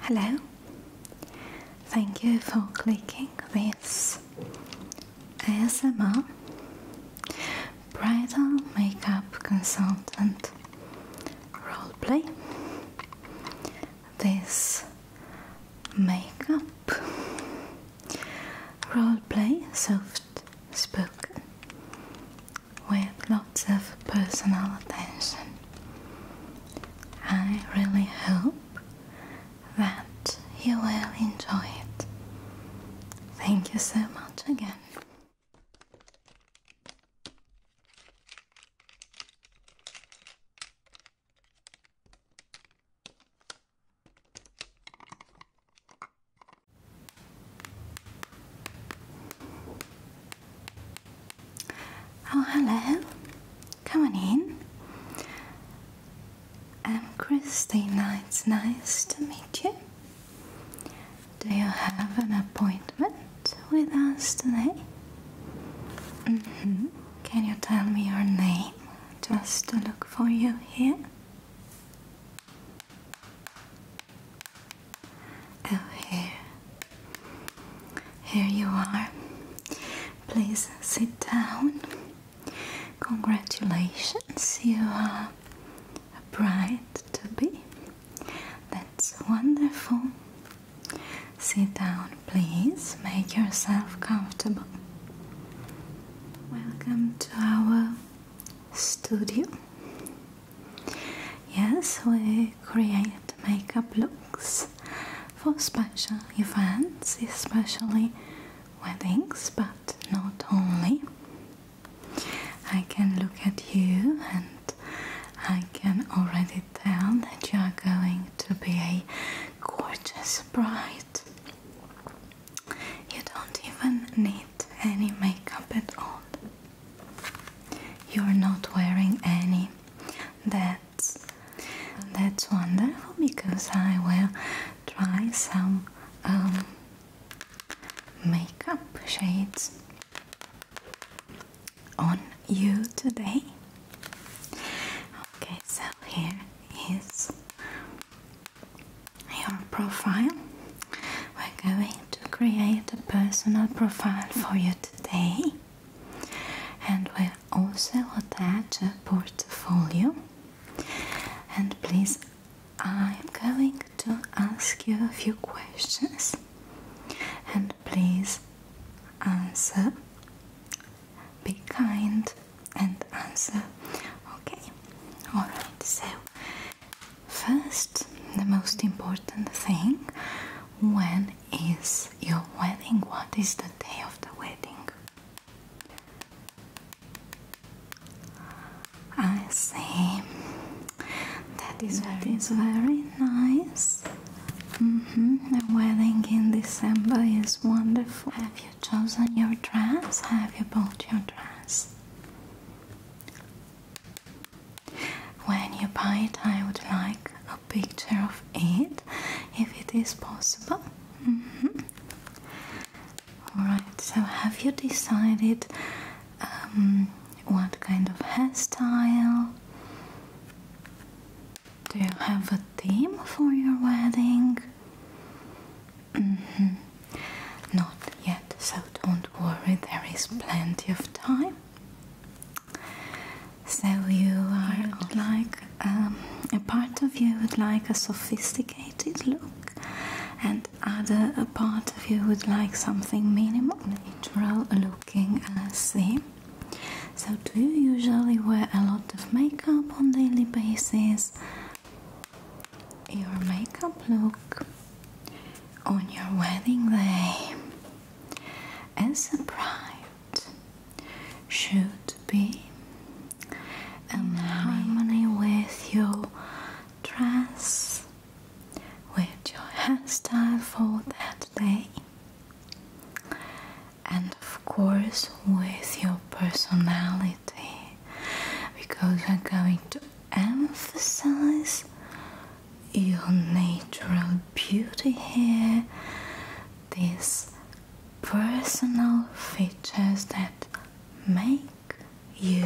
Hello, thank you for clicking this ASMR bridal makeup consultant role play. This makeup role play soft spoken with lots of personal attention. I really hope that you will enjoy it. Thank you so much again. Oh, hello. Come on in. I'm um, Christina. It's nice to meet you. Do you have an appointment with us today? Mm-hmm. Can you tell me your name just to look for you here? Oh, here. Here you are. Please sit down. Congratulations, you are a bride to be. That's wonderful. Sit down, please. Make yourself comfortable. Welcome to our studio. Yes, we create makeup looks for special events, especially weddings, but not only. I can look at you and I can already tell that you are going to be a gorgeous bride. You don't even need any makeup at all. You're not wearing any. That's that's wonderful because I will try some um, makeup shades on you today. Okay, so here is your profile. We're going to create a personal profile for you today, and we'll also attach a portfolio. And please, I'm going to ask you a few questions, and please answer. Be kind and answer. Okay, alright, so first, the most important thing when is your wedding? What is the day of the wedding? I see. That is very, very nice. Mm -hmm. A wedding in December is wonderful you chosen your dress? Have you bought your dress? When you buy it, I would like a picture of it if it is possible. Mm-hmm. Alright, so have you decided um, what kind of hairstyle? Do you have a theme for your wedding? Mm-hmm. Not yet, so don't worry, there is plenty of time. So, you are like um, a part of you would like a sophisticated look, and other a part of you would like something minimal, natural looking, I see. So, do you usually wear a lot of makeup on daily basis? your makeup look on your wedding day as a bride should be in harmony with your dress, with your hairstyle for that day, and of course with your personality because I'm going to emphasize your natural beauty here, these personal features that make you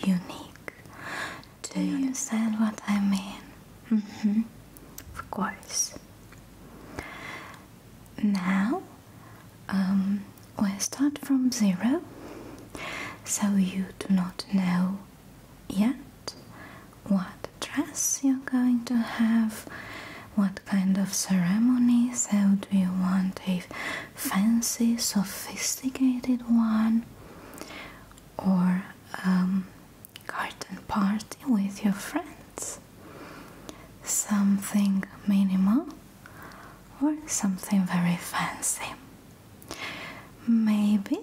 unique. Do you understand what I mean? Mm -hmm. Of course. Now um, we start from zero, so you do not know yet what dress you're going to have, what kind of ceremony. So, do you want a fancy, sophisticated one, or um, garden party with your friends? Something minimal or something very fancy. Maybe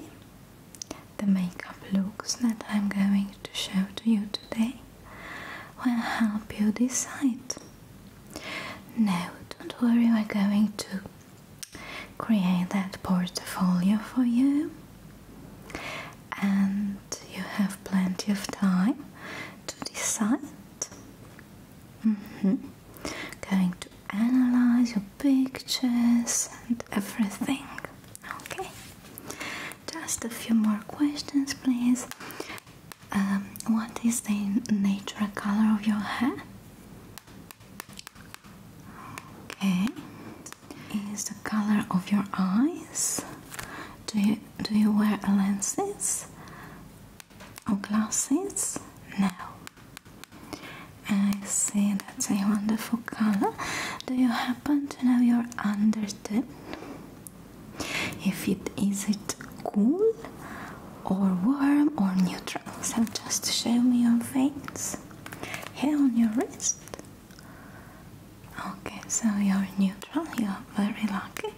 the makeup looks that I'm going to show to you today will help you decide. No, don't worry, we're going to create that portfolio for you and you have plenty of time to decide Mm-hmm. Going to analyze your pictures and everything. Okay. Just a few more questions, please. Um, what is the natural color of your hair? Okay. Is the color of your eyes? Do you do you wear lenses? Oh, glasses? No. I see that's a wonderful color. Do you happen to know your undertone? If it is it cool or warm or neutral? So just show me your veins here on your wrist. Okay, so you're neutral, you're very lucky.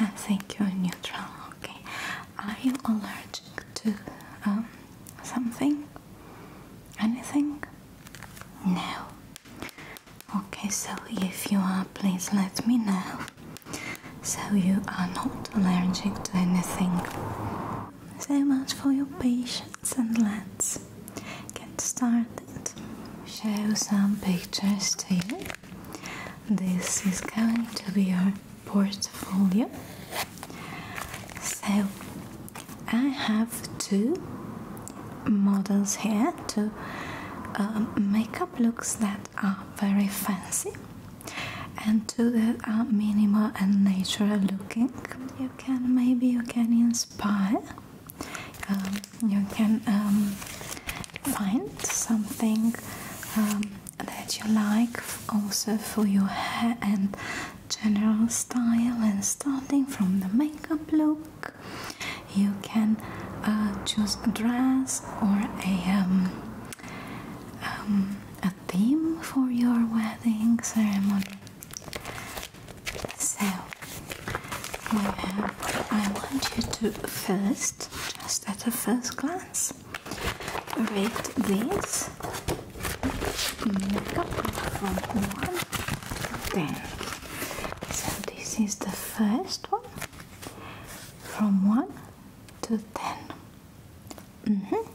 I uh, think you're neutral, okay. Are you allergic to um, something? Anything? No. Okay, so if you are, please let me know. So you are not allergic to anything. So much for your patience, and let's get started. Show some pictures to you. This is going to be our portfolio. So I have two models here to um, makeup looks that are very fancy and two that are minimal and natural looking. You can maybe you can inspire. Um, you can um, find something that you like also for your hair and general style and starting from the makeup look you can uh, choose a dress or um, um, a theme for your wedding ceremony so I want you to first just at a first glance rate this makeup from 1 to 10. So this is the first one from 1 to 10. Mm -hmm.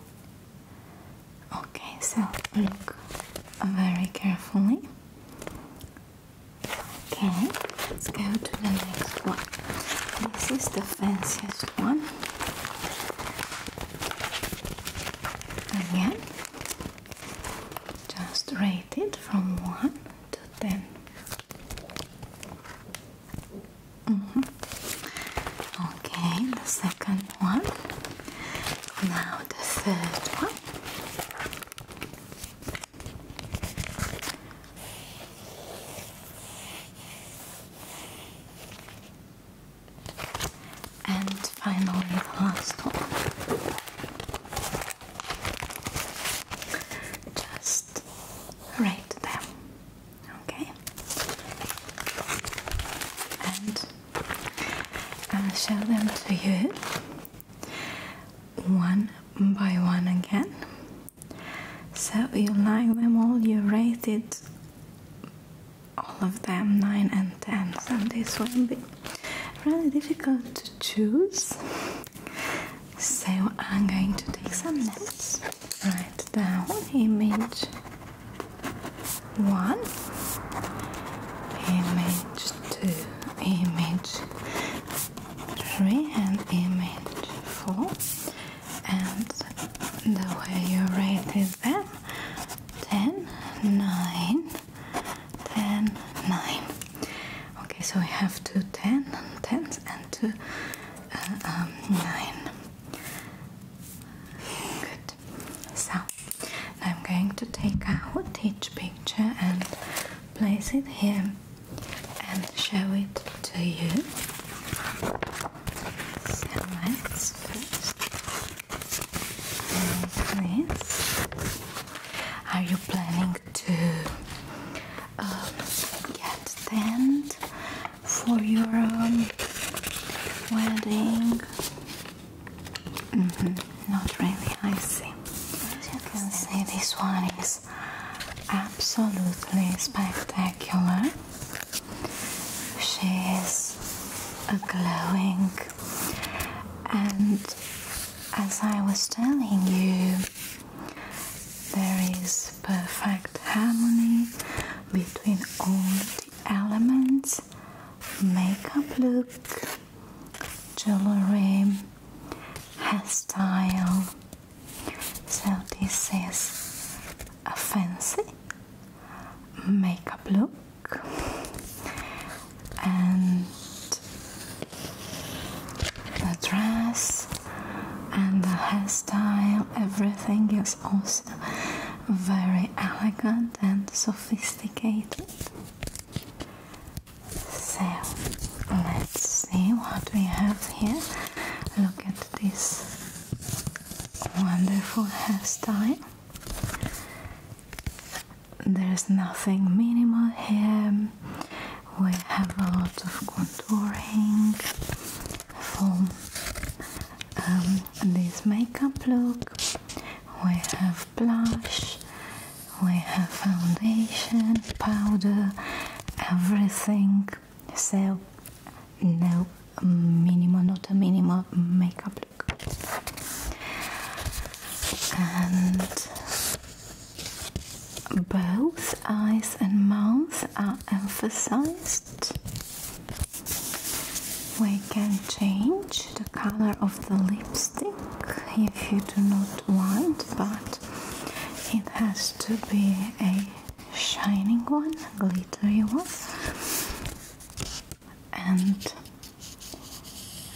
Okay, so look very carefully. Okay, let's go to the next one. This is the fanciest one. Again, just rate it from 1 to 10. Mm-hmm. Okay, the second one. Now the third one. And finally, the last one. Just rate them, okay? And I'll show them to you one by one again. So you like them all, you rated all of them 9 and 10, so this will be really difficult to choose. So I'm going to take some notes. Write down image 1, image 2, image 3 and image 4 and the way you rated them 10 9 10 9 okay so we have two 10 10s and two uh, um, 9 good so I'm going to take out each picture and place it here and show it to you. let's first Are you planning to um, get tent for your wedding? Mm-hmm. Not really, I see. As you see, this one absolutely spectacular. She is glowing, and as I was telling you, there is perfect harmony between all the elements makeup look, jewelry, hairstyle. So this is a fancy makeup look and the dress and the hairstyle everything is also very elegant and sophisticated so Let's see what we have here. Look at this wonderful hairstyle. There's nothing minimal here. We have a lot of contouring for um, this makeup look. We have blush, we have foundation, powder, everything so no minimal not a minimal makeup look and both eyes and mouth are emphasized we can change the color of the lipstick if you do not want but it has to be a shining one, glittery one, and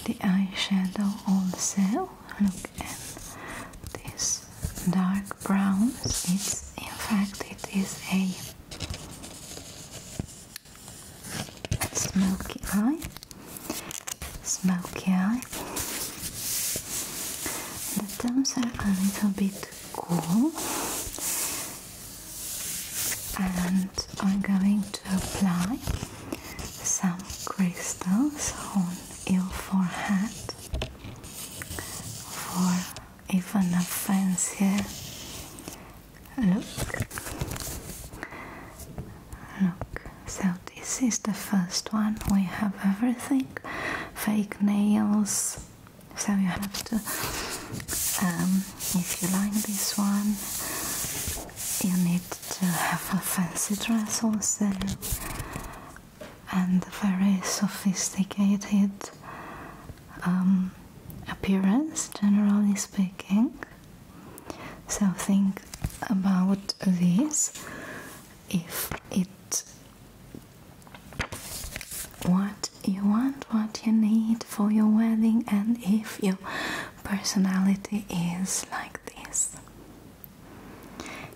the eyeshadow also. Look at this dark brown. It's in fact it is a smoky eye, smoky eye the tones are a little bit cool, and I'm going to apply some crystals on your forehead for even a fancier look. Look, so this is the first one. We have everything fake nails. So you have to, um, if you like this one, you need to have a fancy dress also and very sophisticated um, appearance, generally speaking. So think about this if it what you want, what you need for your wedding, and if your personality is like this.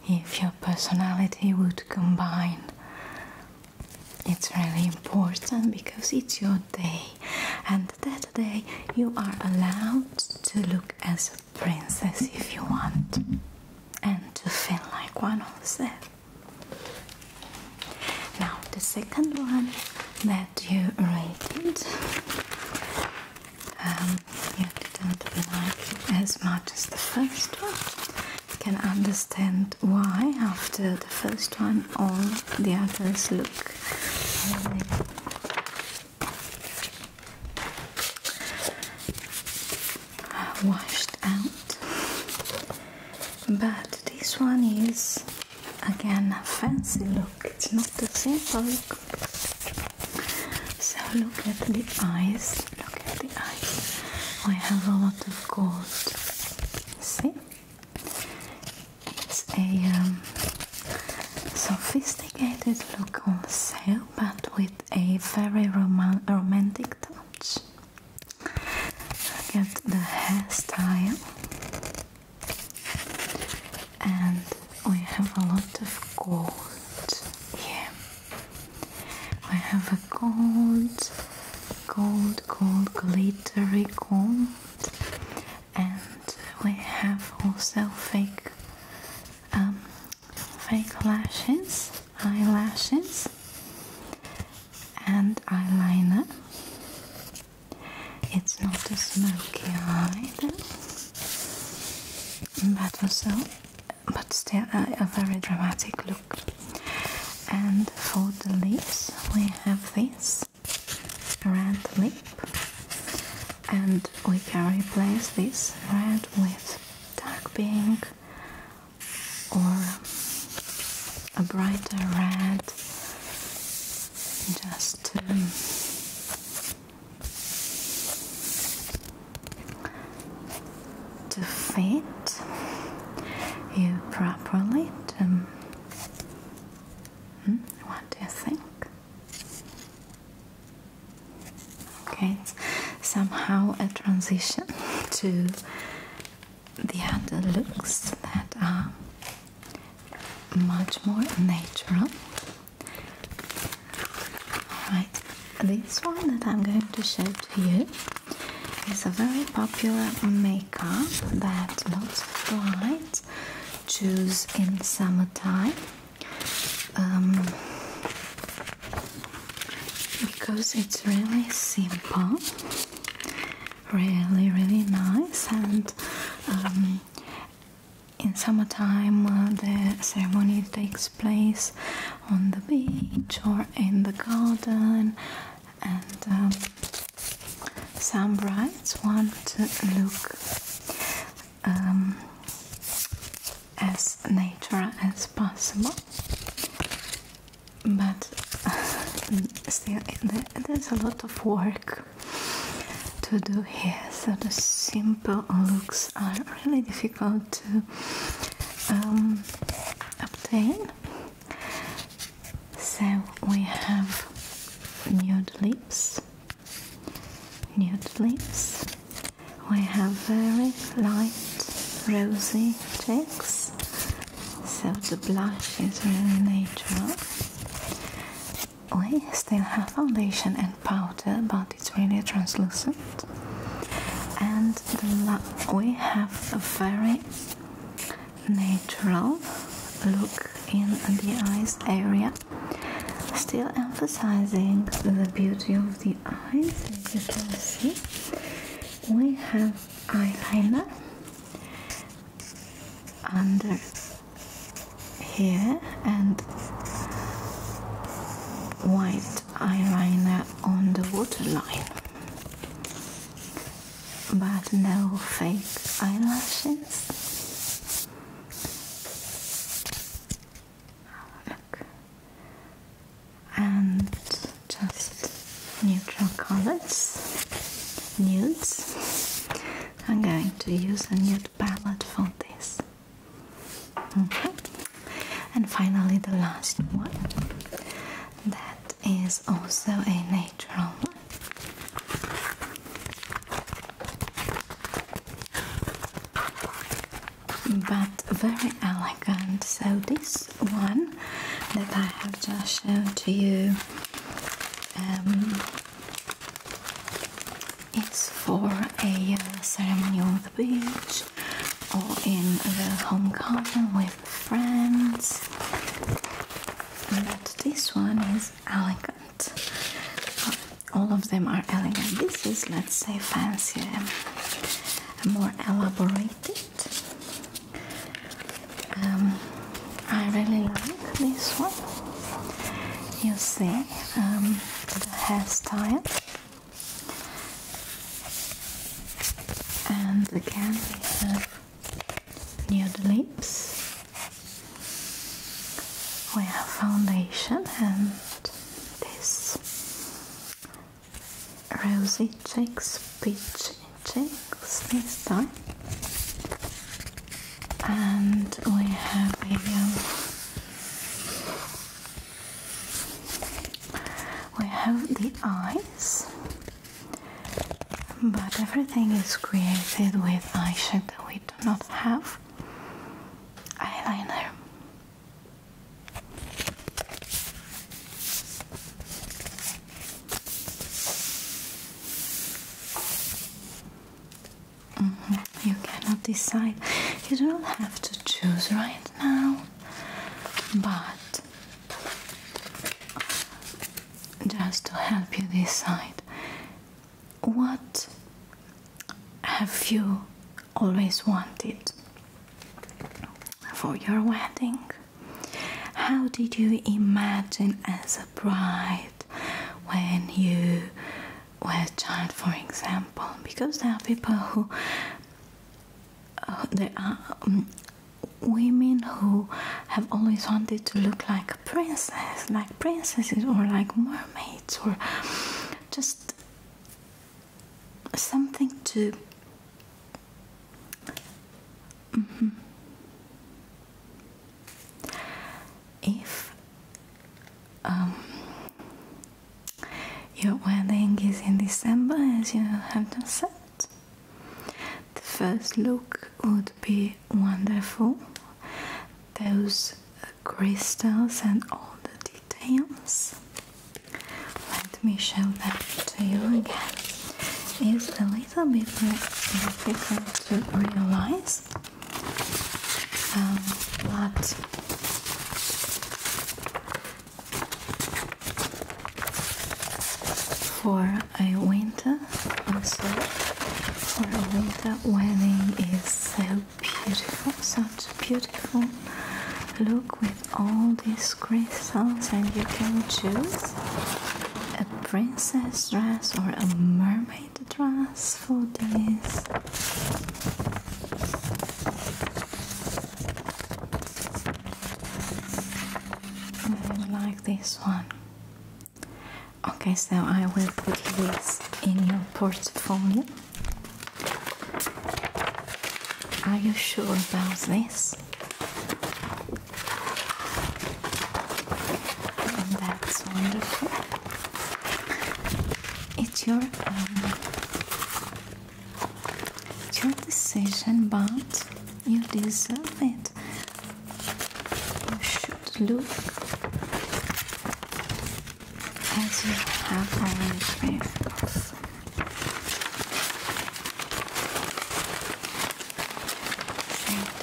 If your personality would combine, it's really important because it's your day, and that day you are allowed to look as a princess if you want and to feel like one of them. Now, the second one that you rated, um, you didn't like as much as the first one. You can understand why after the first one all the others look washed out but this one is again a fancy look it's not the simple look so look at the eyes look at the eyes I have a lot of gold see it's a um, sophisticated look on sale but with a very rom romantic touch much. Look at the hairstyle, and we have a lot of gold here. We have a gold, gold, gold, glittery gold, and we have also fake um, fake lashes, eyelashes and eyeliner. It's not a smoky eye though, but also, but still a very dramatic look. And for the lips, we have this red lip, and we can replace this red with dark pink or a brighter red just to to fit you properly hmm, what do you think? Okay, it's somehow a transition to the other looks that are much more natural. Alright, this one that I'm going to show to you is a very popular makeup that lots of clients choose in summertime. Um, because it's really simple, really, really nice, and um, in summertime uh, the ceremony takes place on the beach or in the garden, and um, some brides want to look. Um, as natural as possible but still there's a lot of work to do here so the simple looks are really difficult to um, obtain so we have nude lips nude lips we have very light rosy cheeks, so the blush is really natural. We still have foundation and powder, but it's really translucent. And we have a very natural look in the eyes area, still emphasizing the beauty of the eyes, as you can see we have eyeliner under here and white eyeliner on the waterline but no fake eyelashes Look and just neutral colors, nudes. I'm going to use a nude palette for this. And finally, the last one that is also a natural one but very elegant. So, this one that I have just shown to you. Um, it's for a uh, ceremony on the beach or in the home garden with friends. But this one is elegant. All of them are elegant. This is, let's say, fancier, more elaborate um, I really like this one. You see um, the hairstyle, and again we have nude lips. We have foundation and this rosy cheeks, peach cheeks this time. And we have a um, we have the eyes, but everything is created with eyeshadow. We do not have eyeliner. Mm-hmm. You cannot decide. You don't have to choose right now, but just to help you decide, what have you always wanted? for your wedding. How did you imagine as a bride when you were a child, for example? Because there are people who, there are um, women who have always wanted to look like princesses, like princesses or like mermaids, or just something to mm-hmm. if um, your wedding is in December, as you have just said, the first look would be wonderful. Those crystals and all the details. Let me show that to you again. It's a little bit difficult to realize, um, but for a winter, also for a winter wedding is so beautiful, such beautiful look with all these crystals and you can choose a princess dress or a mermaid dress for this I like this one okay so I will put this in your portfolio are you sure about this? That's wonderful. It's your um, it's your decision, but you deserve it. You should look as you have always been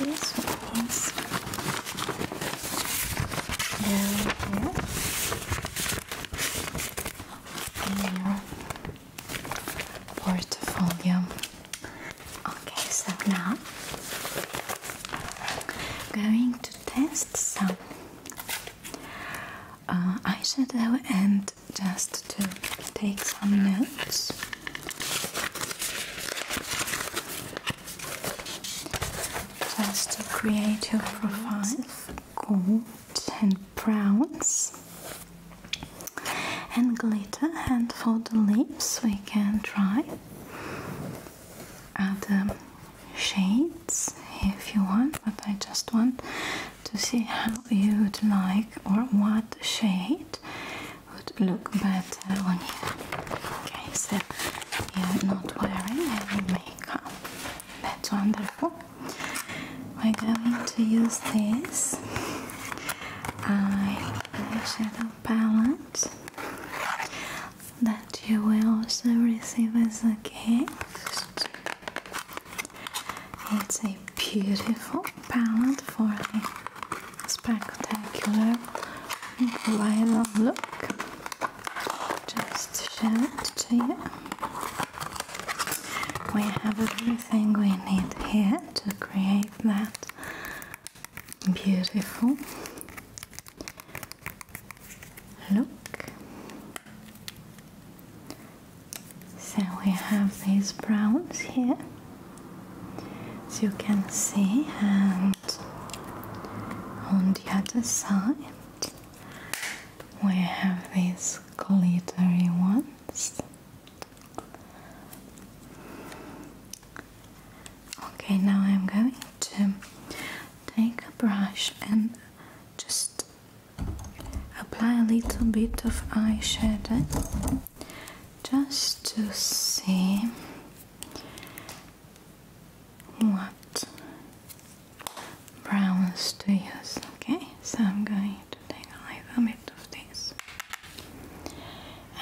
this one is here portfolio. Okay, so now I'm going to test some uh, eyeshadow and just to take some notes. Just to create your profile, gold and browns and glitter. And for the lips, we can try other shades if you want, but I just want to see how you'd like or what shade would look better on you. Okay, so you're not wearing any makeup. That's wonderful. We're going to use this eyeshadow palette that you will also receive as a gift. It's a beautiful palette for a spectacular violet look. Just show it to you. We have everything we need here to create that beautiful look. So we have these browns here, as you can see, and on the other side we have these glittery ones. Okay, now I'm going to take a brush and just apply a little bit of eyeshadow just to see what browns to use. Okay, so I'm going to take a little bit of this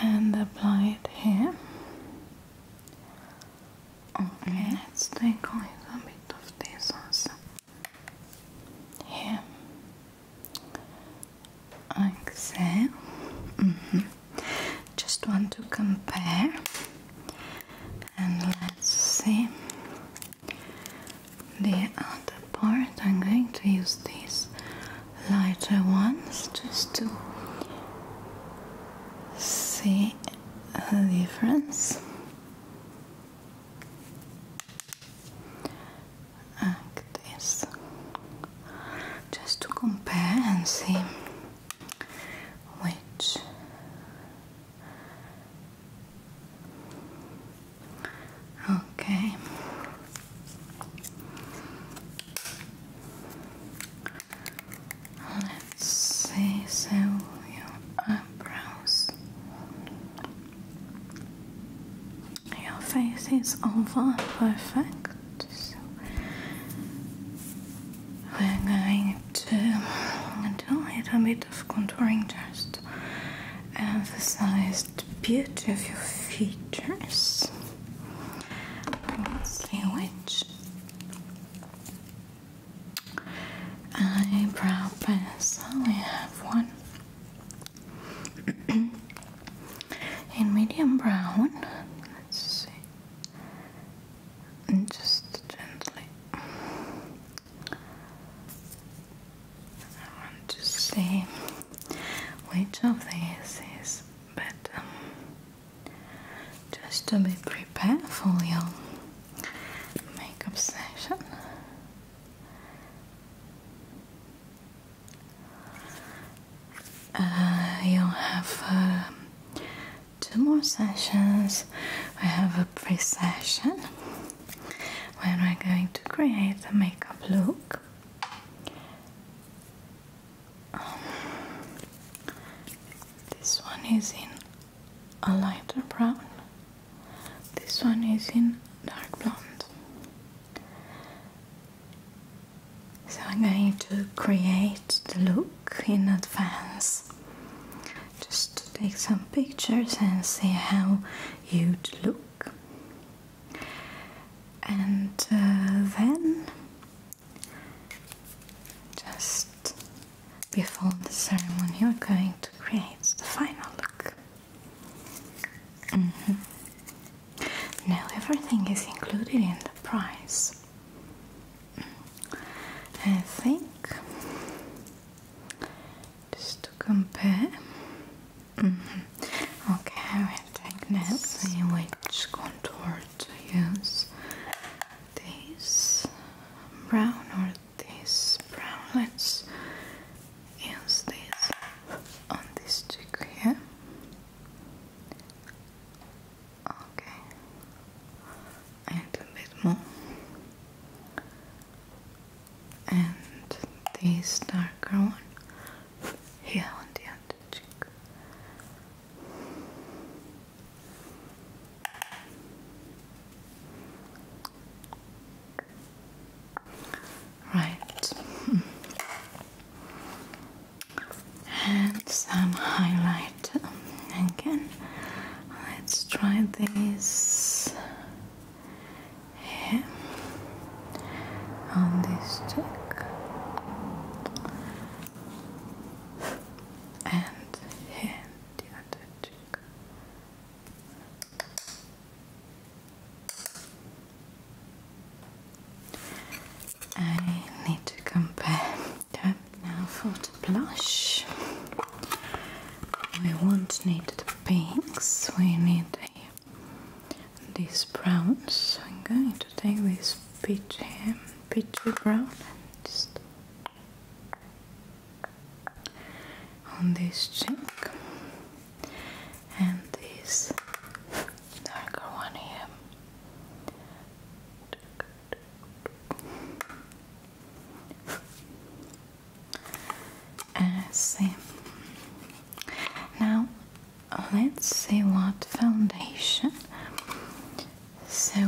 and apply it here. Okay, let's take a little bit of this also. Yeah. Like -hmm. Just want to compare and let's see the other part. I'm going to use these lighter ones just to see the difference like this just to compare and see which okay let's see so your eyebrows your face is over perfect, so we're going to do a bit of contouring just to emphasize the beauty of your features. Let's see which eyebrow pencil we have one. in medium brown, let's see, and just gently. I want to see which of these is better. Just to be prepared for your makeup session. Uh, you have um, two more sessions. We have a pre session when we're going to create the makeup look. Um, this one is in a lighter brown. This one is in dark blonde. So I'm going to create the look in advance. Just to take some pictures and see how you'd look. And uh, then, just before the ceremony, you're going to create the final look. Mm-hmm. Now everything is included in the price. Mm. I think just to compare. Mm -hmm. Okay, I will take now see which contour to use. This brown or these brown. Let's use this on this cheek here. Okay, a bit more. And this darker one here on the other cheek. Right. And some highlight again. Let's try this here on this cheek and here the other cheek. I need to compare now for the blush. We won't need the pinks, we need these browns. I'm going to take this peachy, brown on this cheek and this darker one here. I uh, Now let's see what foundation. So,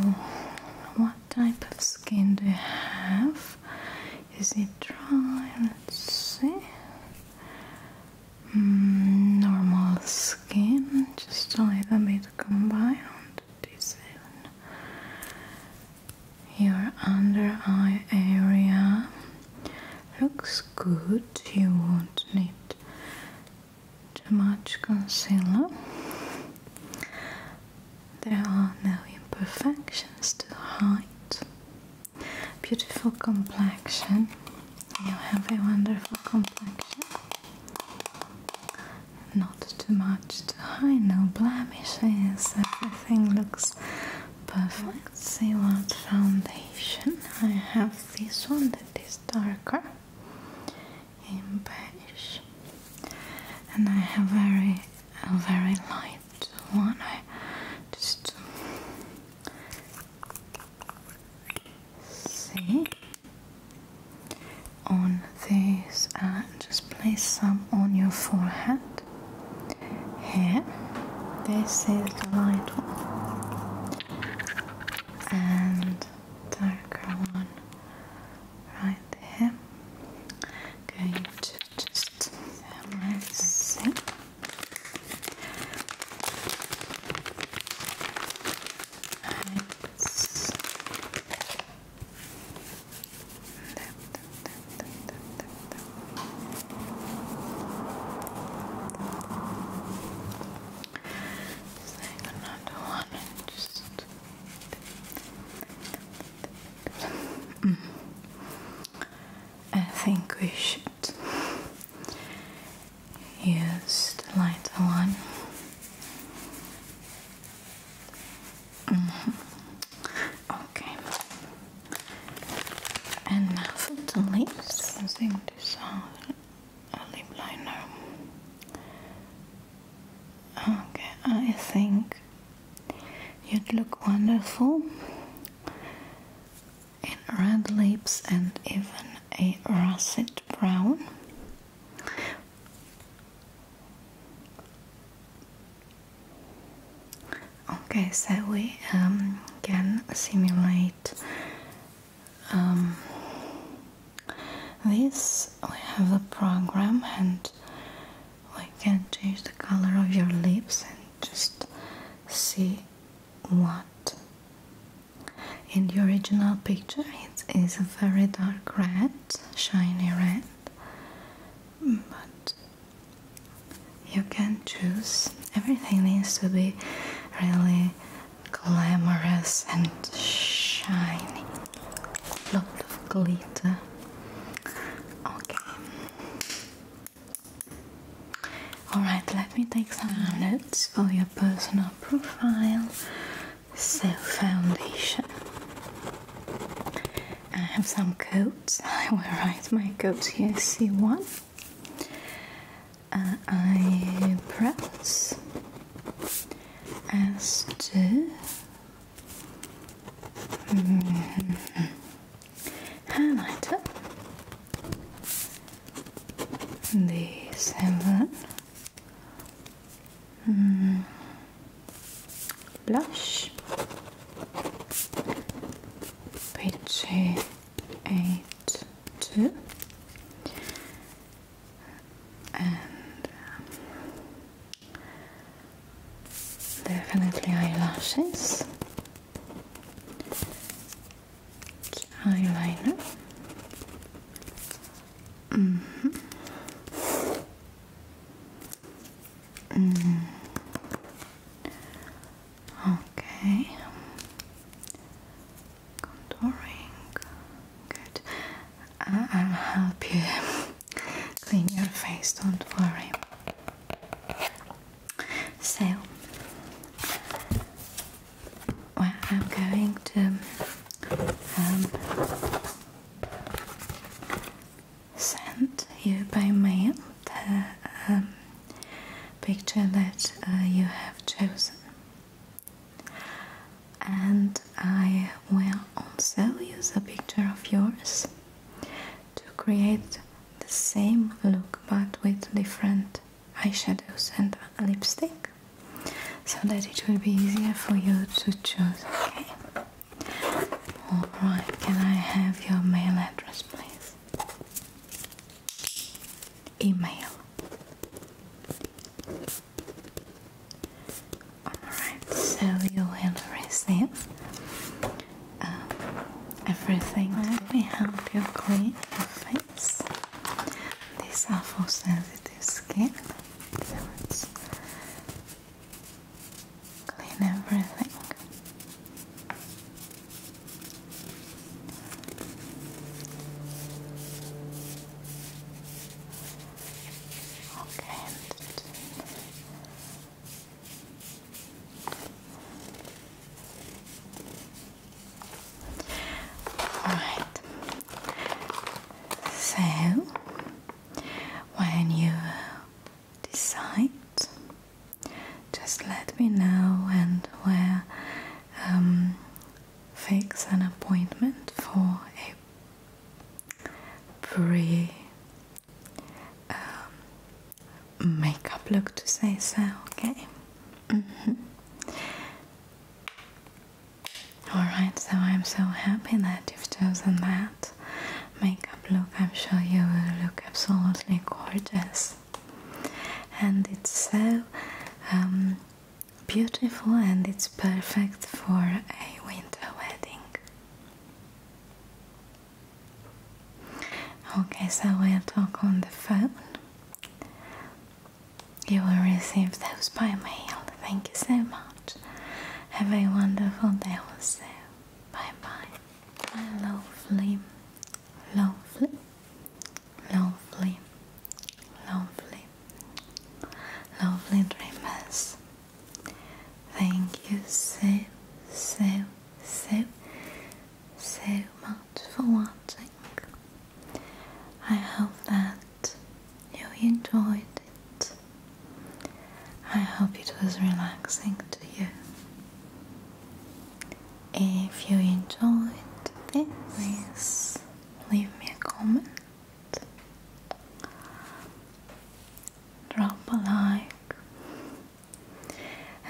what type of skin do you have? Is it dry, see. Mm, normal skin, just a little bit combined. This your under eye area looks good. You won't need too much concealer. There are no imperfections to hide. Beautiful complexion. You have a wonderful complexion. Not too much to hide, no blemishes. Everything looks perfect. Let's see what foundation. I have this one that is darker beige, and I have very, very light. I just see on this and just place some on your forehead. Here, this is the light one, and darker one right there. Okay, just first. So let's take another one and just I think we should use the lighter one. Mm-hmm. Okay. And now for the lips, using this uh, lip liner. Okay, I think you'd look wonderful in red lips and even a russet brown. Okay, so we um, can simulate um, this. We have a program and we can change the color of your lips and just see what in the original picture it is a very dark red shiny red but you can choose everything needs to be really glamorous and shiny lot of glitter okay Alright, let me take some notes for your personal profile. So, foundation. I have some coats. I will write my coats here. See one. Uh, I press. S2. highlighter the seven hmm. blush page eight two and um, definitely eyelashes, eyeliner. Mm -hmm. Okay, contouring. Good. I'll help you clean your face. Don't worry. So, I'm going to um, send you by mail the um, picture that uh, you have chosen, and I will also use a picture of yours to create the same look but with different eyeshadows and lipstick so that it will be easier for you to choose, okay? Alright, can I have your mail address please? Email. Alright, so you will receive um, everything. Let me help you clean your face. These are for sensitive skin. let's clean everything. Okay, Alright, so when you decide, just let me know and we'll um, fix an appointment for a pre um, makeup look to say so, okay? Mm-hmm. Alright, so I'm so happy that you've chosen that makeup look. I'm sure you will look absolutely gorgeous. And it's so um, beautiful and it's perfect for a winter wedding. Okay, so we'll talk on the phone. You will receive those by mail. Thank you so much. Have a wonderful day also. Bye bye. My lovely, lovely, lovely, lovely, lovely dreamers. Thank you so, so so, so much for watching. I hope that you enjoyed it. I hope it was relaxing to you. If you enjoyed this, please leave me a comment. Drop a like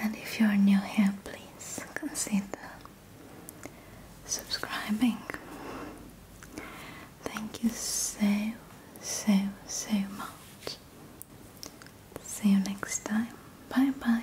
and if you are new here, please consider subscribing. Thank you so, so, so much. See you next time. Bye bye.